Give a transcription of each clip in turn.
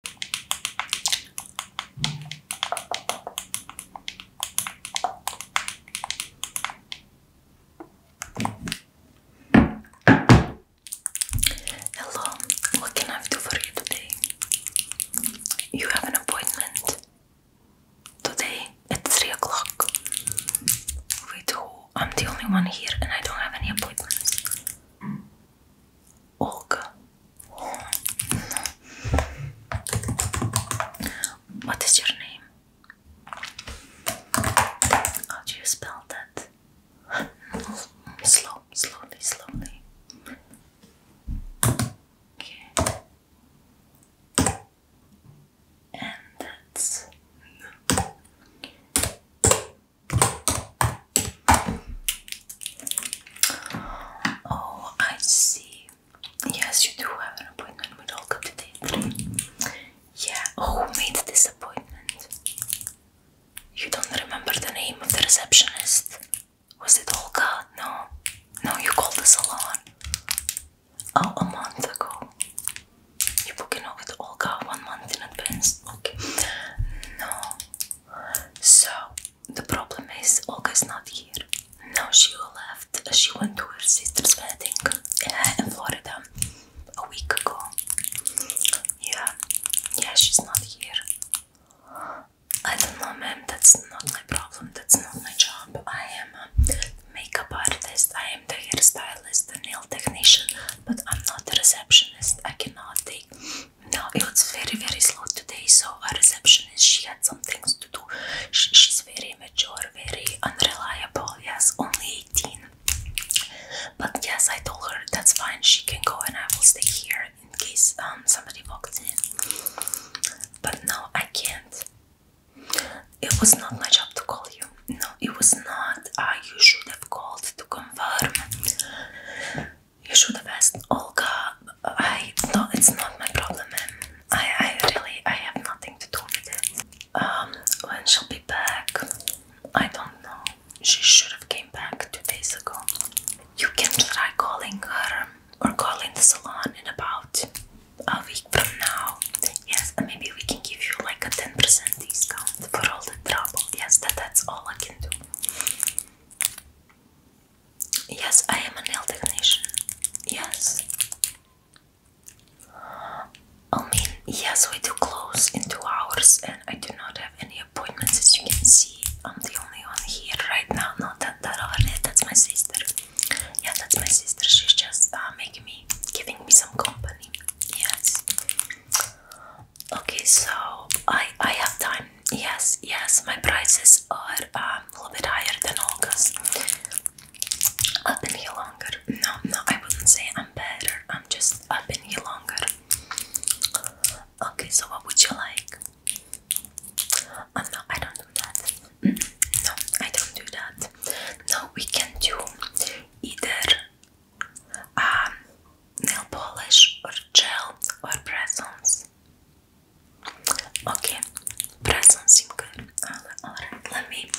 Hello, what can I do for you today? You have an appointment today at 3 o'clock. Wait, who? I'm the only one here and I don't have any appointments. Olga What is your name? How do you spell that? Slow, slowly, slowly. Okay. And that's Oh, I see. Yes, you do have an appointment with Olga today Yeah, oh, who made this appointment? You don't remember the name of the receptionist? Was it Olga? No. No, you called the salon. Oh, a month ago. You booked booking out with Olga one month in advance? Okay. No. So the problem is Olga's not here. Now she left. She went to her sister's wedding uh, in Florida a week ago. Yeah, yeah, she's not here. I don't know, ma'am. That's not my problem. That's not my job. I am a makeup artist. I am the hairstylist, the nail technician, but I'm not a receptionist. I cannot take no, it was very very slow today. So our receptionist, she had some things to do. she's very mature, very unreliable. Yes, only 18. But yes, I told her that's fine. She can go, and I will stay here in case um somebody walks in. But no, I can't. It was not my job to call you. No, it was not. Uh, you should have called to confirm. You should have asked Olga. I no, it's not my problem. I I really I have nothing to do with it. Um, when she'll be back, I don't know. She should have came back two days ago. You can try calling her or calling the salon in about a week from now. Yes, maybe we can give you like a ten percent discount for all the trouble. Yes, that that's all I can do. Yes, I am a nail technician. Yes. I mean, yes, we do close in two hours, and I do not have any appointments. As you can see, I'm the only one here right now. Not that that that's my sister. Yeah, that's my sister. She's just uh, making me, giving me some company. Yes. Okay, so I I have time. Yes, yes, my prices are um, a little bit higher than Olga's. I've been here longer. No, no, I wouldn't say I'm better. I'm just I've been here longer. Okay, so what would you like? Oh, no, I don't do that. Mm, no, I don't do that. No, we can do either um, nail polish or gel or press Okay, press seem good. Alright, let me.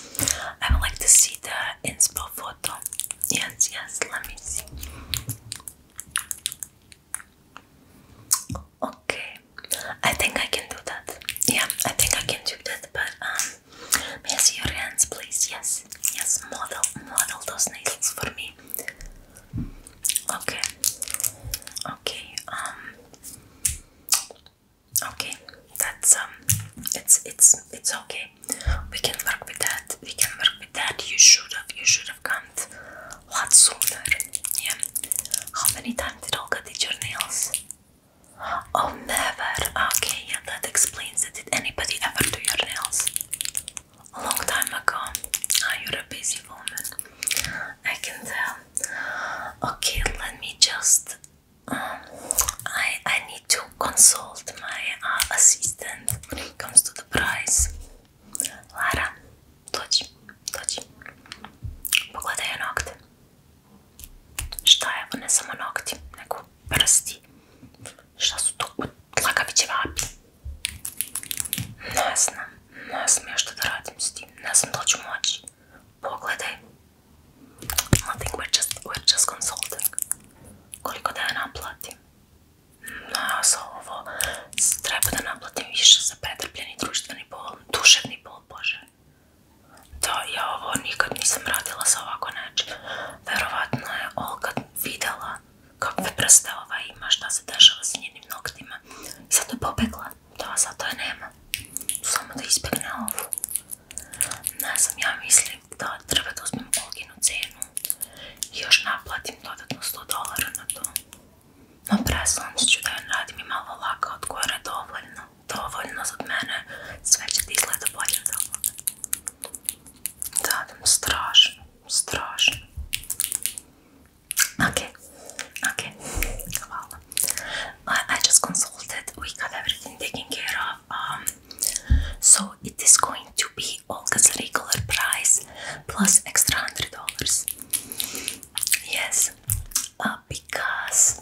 I would like to see the in inspo photo. Yes, yes, let me see. Okay, I think I can do that. Yeah, I think I can do that, but um, may I see your hands, please? Yes, yes, model, model those nails for me. Okay. Okay. Um, okay. That's um. It's it's it's okay. We can work with that. We can work with that. You should have you should have come a lot sooner. Yeah. How many times did Olga did your nails? Oh, never. Okay, yeah, that explains it. Did anybody ever do your nails? a long time ago. you're a busy woman. I can tell. Okay, let me just. Um, I I need to consult my uh, assistant when it comes to the price. Lara, dođi, dođi. Pogledaj joj nokte. Šta je ovo, ne samo nokti, Šta su to? Lakaviće vapi. Ne znam. Ne znam ja što da radim s tim. Ne znam da ću moći. Pogledaj. Nothing we're just, we're just consulting. Koliko da ja naplatim? Ne, ja sa ovo treba da naplatim više za pretrpljeni društveni bol, duševni bol, bože. Da, ja ovo nikad nisam radila sa ovako nečim. Verovatno je Olga videla kakve prste ova ima, šta se dešava sa njenim noktima. I sad je pobegla. To, sad to je nema. Samo da izbjegne ovu. Ne znam, ja mislim da treba da uzmem Olginu cenu i još naplatim dodatno 100 dolara na to. No, preslom se ću da joj radim i malo laka od gore dovoljno. Dovoljno za mene. Sve će ti izgleda bolje od Da, da mi strašno. страшно. Okay, okay. Well, I, just consulted. We got everything taken care of. Um, so it is going to be Olga's regular price plus extra hundred dollars. Yes, uh, because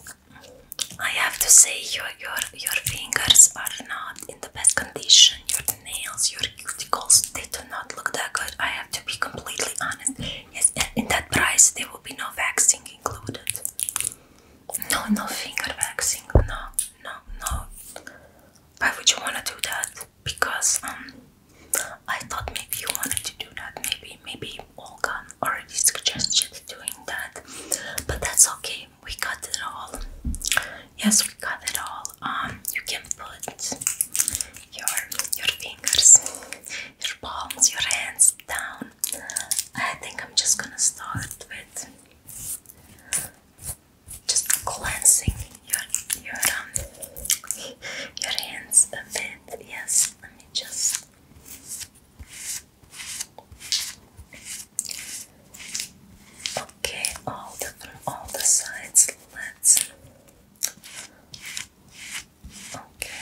I have to say your your your fingers are not in the best condition nails, your cuticles, they do not look that good. I have to be completely honest. Yes, in that price, there will be no waxing included. No, no finger waxing. No, no, no. Why would you want to do that? Because um, I thought maybe you wanted to do that. Maybe, maybe Olga already suggested doing that, but that's okay we got it all. Yes, we got it all. Um, you can put your your fingers, your palms, your hands down. I think I'm just gonna start with just cleansing your your um, your hands a bit. Yes, let me just. Okay, all the all the sides. Let's. Okay.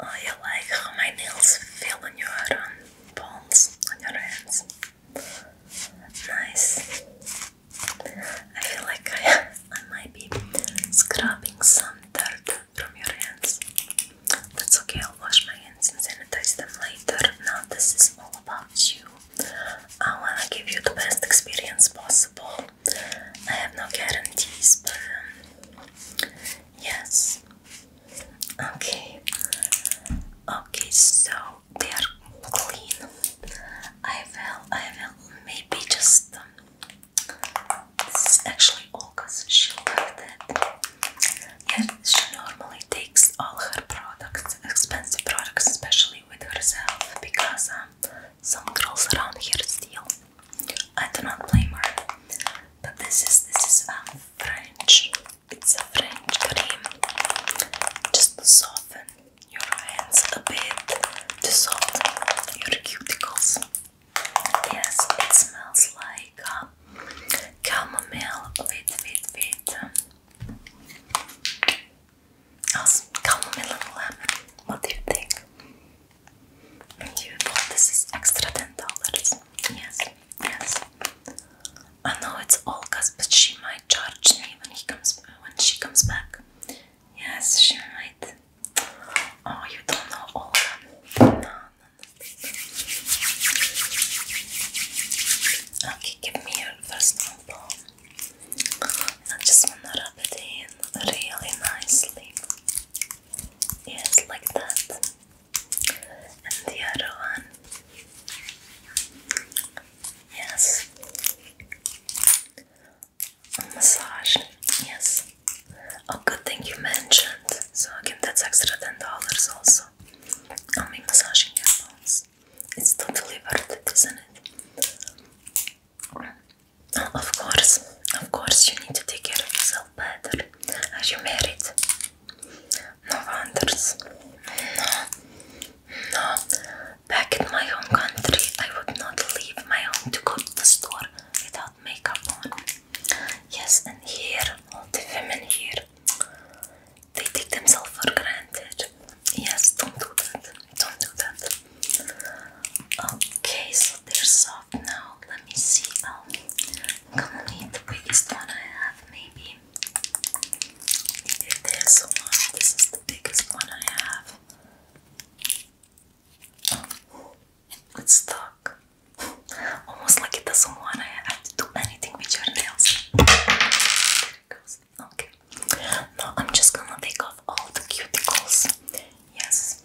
Oh, like how my nails feel on your um, on your hands. Nice. I feel like I, I might be scrubbing some dirt from your hands. That's okay, I'll wash my hands and sanitize them later. Now, this is all about you. I want to give you the best experience possible. I have no guarantees, but um, yes. Okay. Okay, so they are clean. I will, I will maybe just. Um, this is actually Olga's, she'll love that she normally takes all her products, expensive products, especially with herself, because um, some girls around here steal. I do not blame her. But this is this is a um, French. It's a French cream, just to soften your hands a bit, to soften your cuticles. Yes, it smells like. Um, chamomile. Wait, wait, wait. Also, chamomile What do you think? Beautiful. Oh, this is extra ten Yes, yes. I know it's Olga's, but she might charge me when he comes when she comes back. Yes, she might. Oh, you don't know Olga. Okay, give me your first sample. I just wanna rub it in really nicely. Yes, like that. And the other one. Yes. A massage. Yes. Oh, good thing you mentioned. So I give that extra ten dollars also i am be massaging your bones. It's totally worth it, isn't it? Oh, of course, of course, you need to take care of yourself better. as you married? No wonders. No, no. Back in my home country, I would not leave my home to go to the store without makeup on. Yes, and here, all the women here they take themselves for granted. Yes, don't do that. Don't do that. Okay, so they're soft now. Let me see. I'm gonna need the biggest one I have, maybe. This one. This is the biggest one I have. Oh, it's stuck. Almost like it doesn't want to do anything with your nails. Okay. Now I'm just gonna take off all the cuticles. Yes.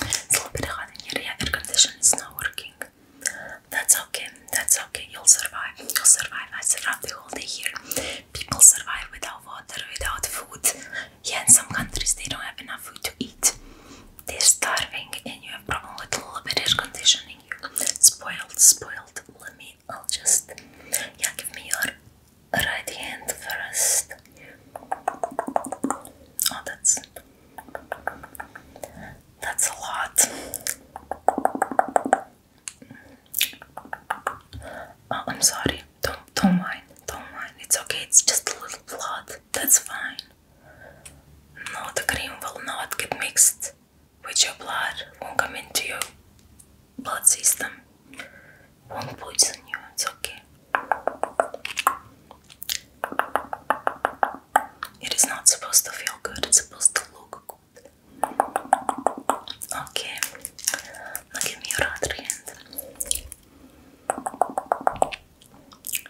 It's a little bit hot in here. Yeah, air conditioning not working. That's okay. That's okay. You'll survive. You'll survive. I survived the whole day here. People survive without water, without food. Yeah, in some countries they don't have enough food to eat. They're starving and you have problem with a little bit air conditioning. Spoiled, spoiled. Let me, I'll just, yeah, give me your right hand first. Oh, that's, that's a lot. Oh, I'm sorry. Don't, don't mind. Don't mind. It's okay. It's just a little blood. That's fine. Now the cream will not get mixed with your blood, won't come into your blood system, won't poison you, it's okay. It is not supposed to feel good, it's supposed to look good. Okay, now give me your other hand.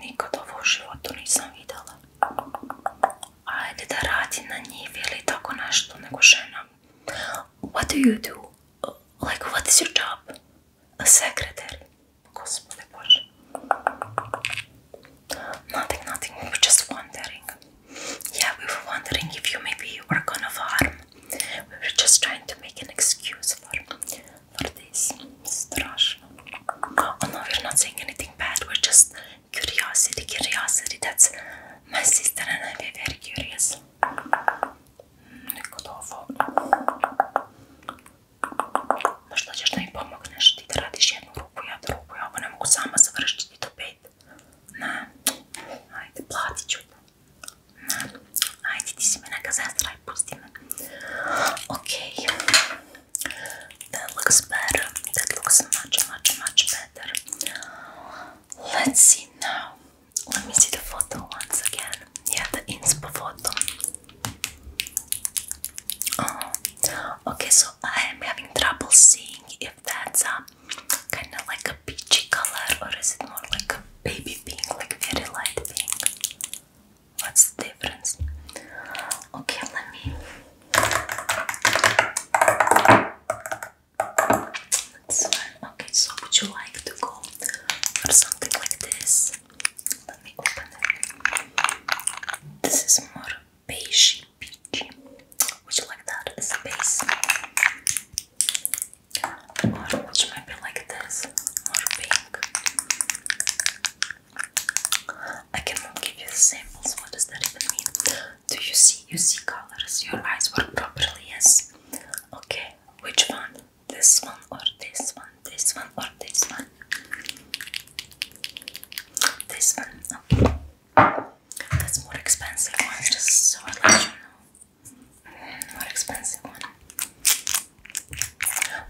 nikad ovo u životu nisam vidjela. Ajde da radi na njih ili tako nešto, nego žena. What do you do? Like, what is your job? A secretary? Gospode Bože. Nothing, nothing, we were just wondering. Yeah, we were wondering if you maybe work on a farm. We were just trying to make an excuse for, for this. Strašno. Oh no, we're not saying anything bad, we're just curiosity, curiosity. That's my sister and I, we're very curious. Gotowo. Masz nadzieję, że mi pomogniesz. Ty tracisz jedną ruku, ja drugą. Ja bo nie mogę sama završiti do pet. Na. Ajde, plati ću te. Na. Ajde, ti si me neka zestra i pusti me. Okej. Okay. That looks better. That looks much, much, much better. Let's see now. Let me see the photo once again. Yeah, the inspo photo. Oh, okay. So I am having trouble seeing if that's a kind of like a peachy color, or is it more like a baby pink, like very light pink? What's the difference? Okay, let me. Okay, so would you like to go for something like this? Let me open it. This is more beige peachy. Would you like that as a base? Or which might be like this, more pink. I cannot give you the samples. What does that even mean? Do you see? You see colors. Your eyes work properly. Yes. Okay. Which one? This one or this one? This one or this one? This one. Okay. That's more expensive one. Just so I let you know. Mm, more expensive one.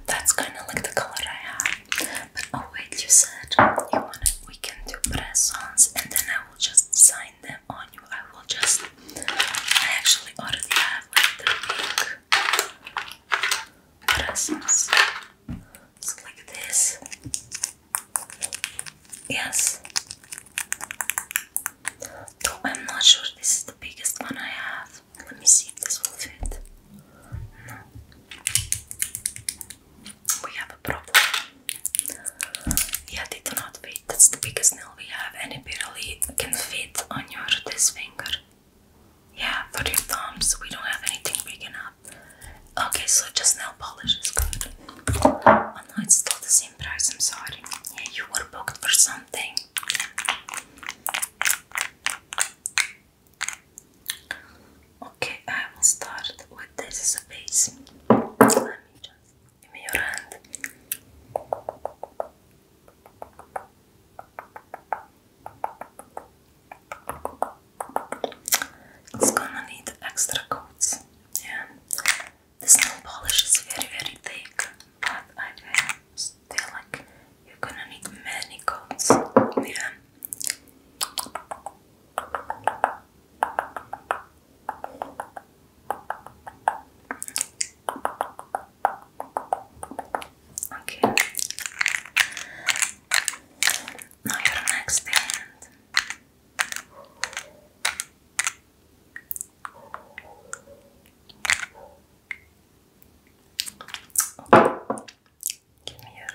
That's kind of like the color I have. But oh, wait, you said you wanted we can do press-ons and then I will just sign them on you. I will just I actually already have like the big press-ons. So like this. Yes. Though I'm not sure this is the biggest one I have. Let me see if this will fit. We have a problem. Yeah, they do not fit. That's the biggest nail we have, and it barely can fit on your this finger. Yeah, for your thumbs, we don't have anything big enough. Okay, so just nail polish is good. Oh no, it's still the same price, I'm sorry. Yeah, you were booked for something. Okay, I will start with this as a base. Let me just give me your hand. It's gonna need extra coats. Yeah, this nail polish is very, very thick, but I like, you're gonna need many coats. Okay. Now your next yeah.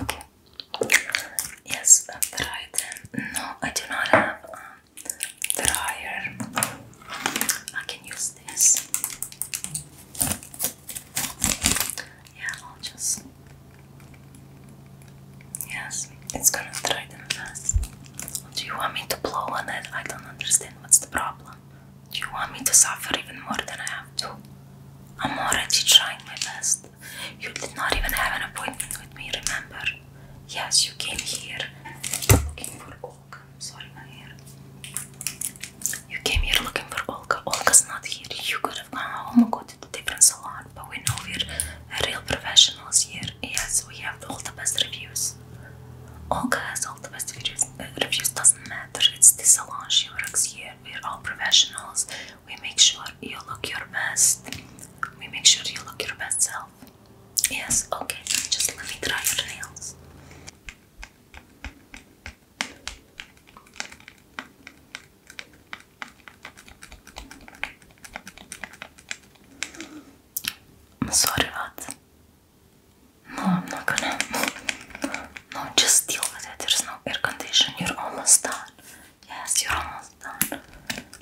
Okay. Yes, dry No, I do not have a um, dryer. I can use this. Yeah, I'll just. Yes, it's gonna dry them fast. Do you want me to blow on it? I don't understand what's the problem. Do you want me to suffer even more than I have to? I'm already trying my best. You did not even have an appointment with me, remember? Yes, you came here looking for Olga. I'm sorry, my hair. You came here looking for Olga. Olga's not here. You could of now homocoated different salon, but we know we're real professionals here. Yes, we have all the best reviews. Olga has all the best reviews. Uh, reviews doesn't matter. It's the salon she works here. We're all professionals. We make sure you look your best. We make sure you look your best self. Yes. Okay. Just let me try your nails. Sorry about that. No, I'm not gonna. No, just deal with it. There's no air conditioning. You're almost done. Yes, you're almost done.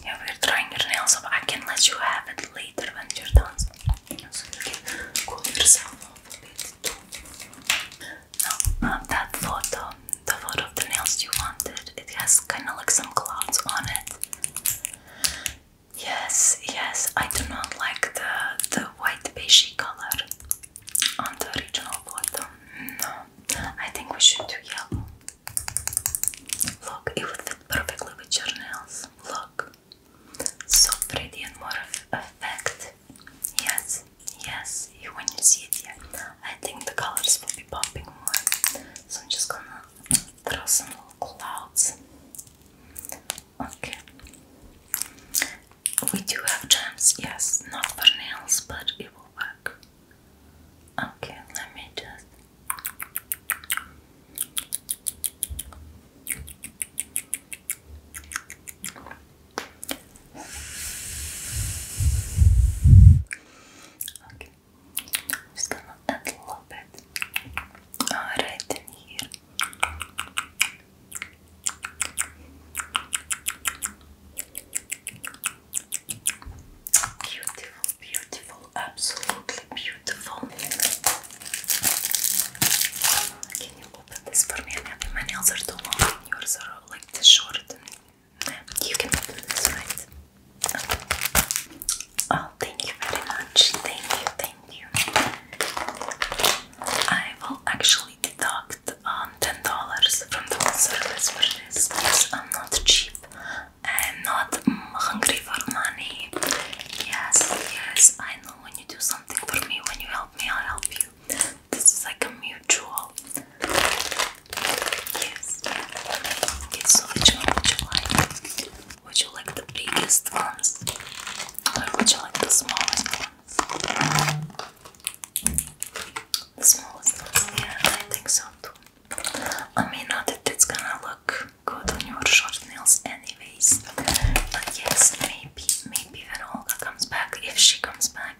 Yeah, we're trying your nails up. I can let you have it later when you're done. So you can cool yourself off a bit too. Now, that photo, the photo of the nails you wanted, it has kind of like some clouds on it. Yes, yes, I do not like the, the white beige color on the original photo. No, I think we should do yellow. Look, it perfectly with your nails. Look, so pretty and more of effect. Yes, yes, you, when you see it, yeah. I think the colors will be popping more. So I'm just gonna throw some little clouds. Okay. We do have gems, yes, not for nails, but it will work. Okay, let me just. Okay. Just gonna add a little bit right in here. Beautiful, beautiful, absolutely beautiful. Can open for me. I mean, my nails are too long and yours like too short. thank you very much. Thank you, thank you. I will actually deduct um, $10 from the service for this I'm not cheap. I'm not hungry for money. Yes, yes, I know when you do something for me, when you help me, i help you. This is like a mutual use. Okay, Would you like the biggest ones? Or would you like the smallest ones? The smallest ones, yeah, I think so too. I mean, not that it's gonna look good on your short nails anyways. But yes, maybe, maybe when Olga comes back, if she comes back.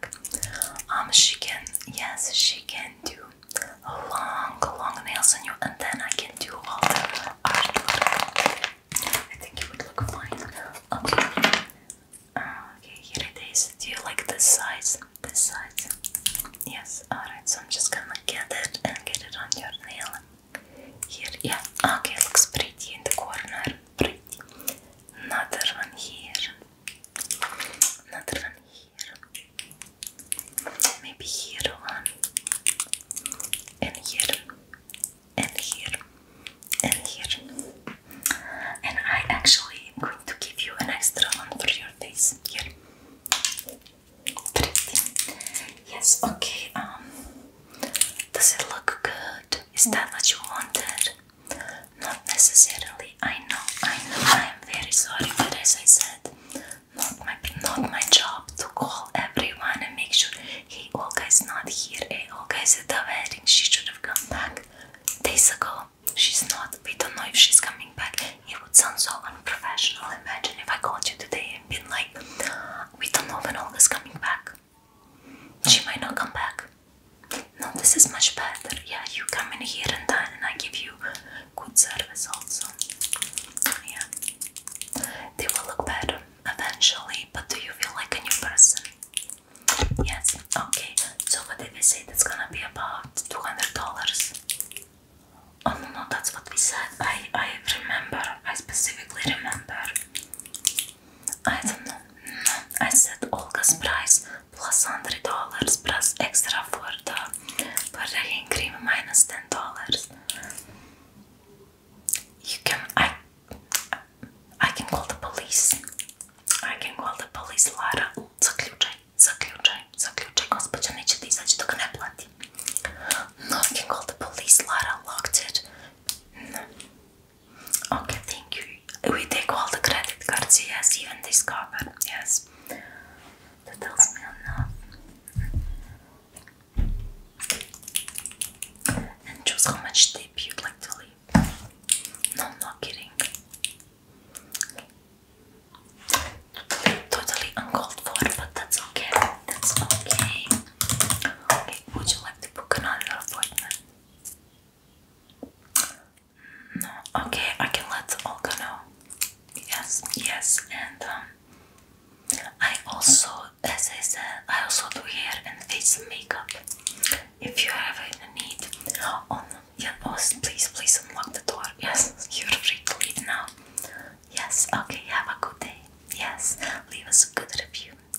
Um, she can, yes, she can do long, long nails on you, and then I can do all the art. I think it would look fine. Okay. Uh, okay, here it is. Do you like this size? This size? Yes. Alright, so I'm just gonna get it and get it on your nail. Here, yeah. Okay, looks pretty in the corner pretty. Another one here. Another one here. Maybe here one. And here. And here. And here. And I actually am going to give you an extra one for your face. Pretty. Yes, okay. Um, does it look good? Is that what you wanted? Not necessarily. I know. I know. I am very sorry, but as I said, not my not my job to call everyone and make sure hey Olga is not here. Hey Olga is at the wedding. She should have come back days ago. She's not. We don't know if she's coming back. It would sound so unprofessional. Imagine if I called you today and been like, we don't know when Olga's coming back. She might not come back. No, this is much better. Yeah, you come in here and then and I give you good service also. Yeah. They will look better eventually, but do you feel like a new person? Yes. Okay. So what did we say? That's gonna be about two hundred dollars. Oh no, that's what we said. I I remember. I specifically remember. I don't know. I said Olga's price plus hundred dollars plus extra for the Brazilian cream minus ten dollars. You can I I can call the police. I can call the police Lara. Zaključaj, zaključaj, zaključaj. Gospođa neće da izađe dok ne plati. No, I can call the police Lara locked it. Okay, thank you. We take all the credit cards, yes, even this cover, yes. That tells me enough. And choose how much tip you'd like to leave. No, I'm not kidding. Totally uncalled for, but that's okay. That's okay. Okay, would you like to book another appointment? Okay, I can let all go now. Yes, yes, and um, I also, as I said, I also do hair and face makeup. If you have any need, oh yeah, please, please unlock the door. Yes, you're free to leave now. Yes, okay, have a good day. Yes, leave us a good review.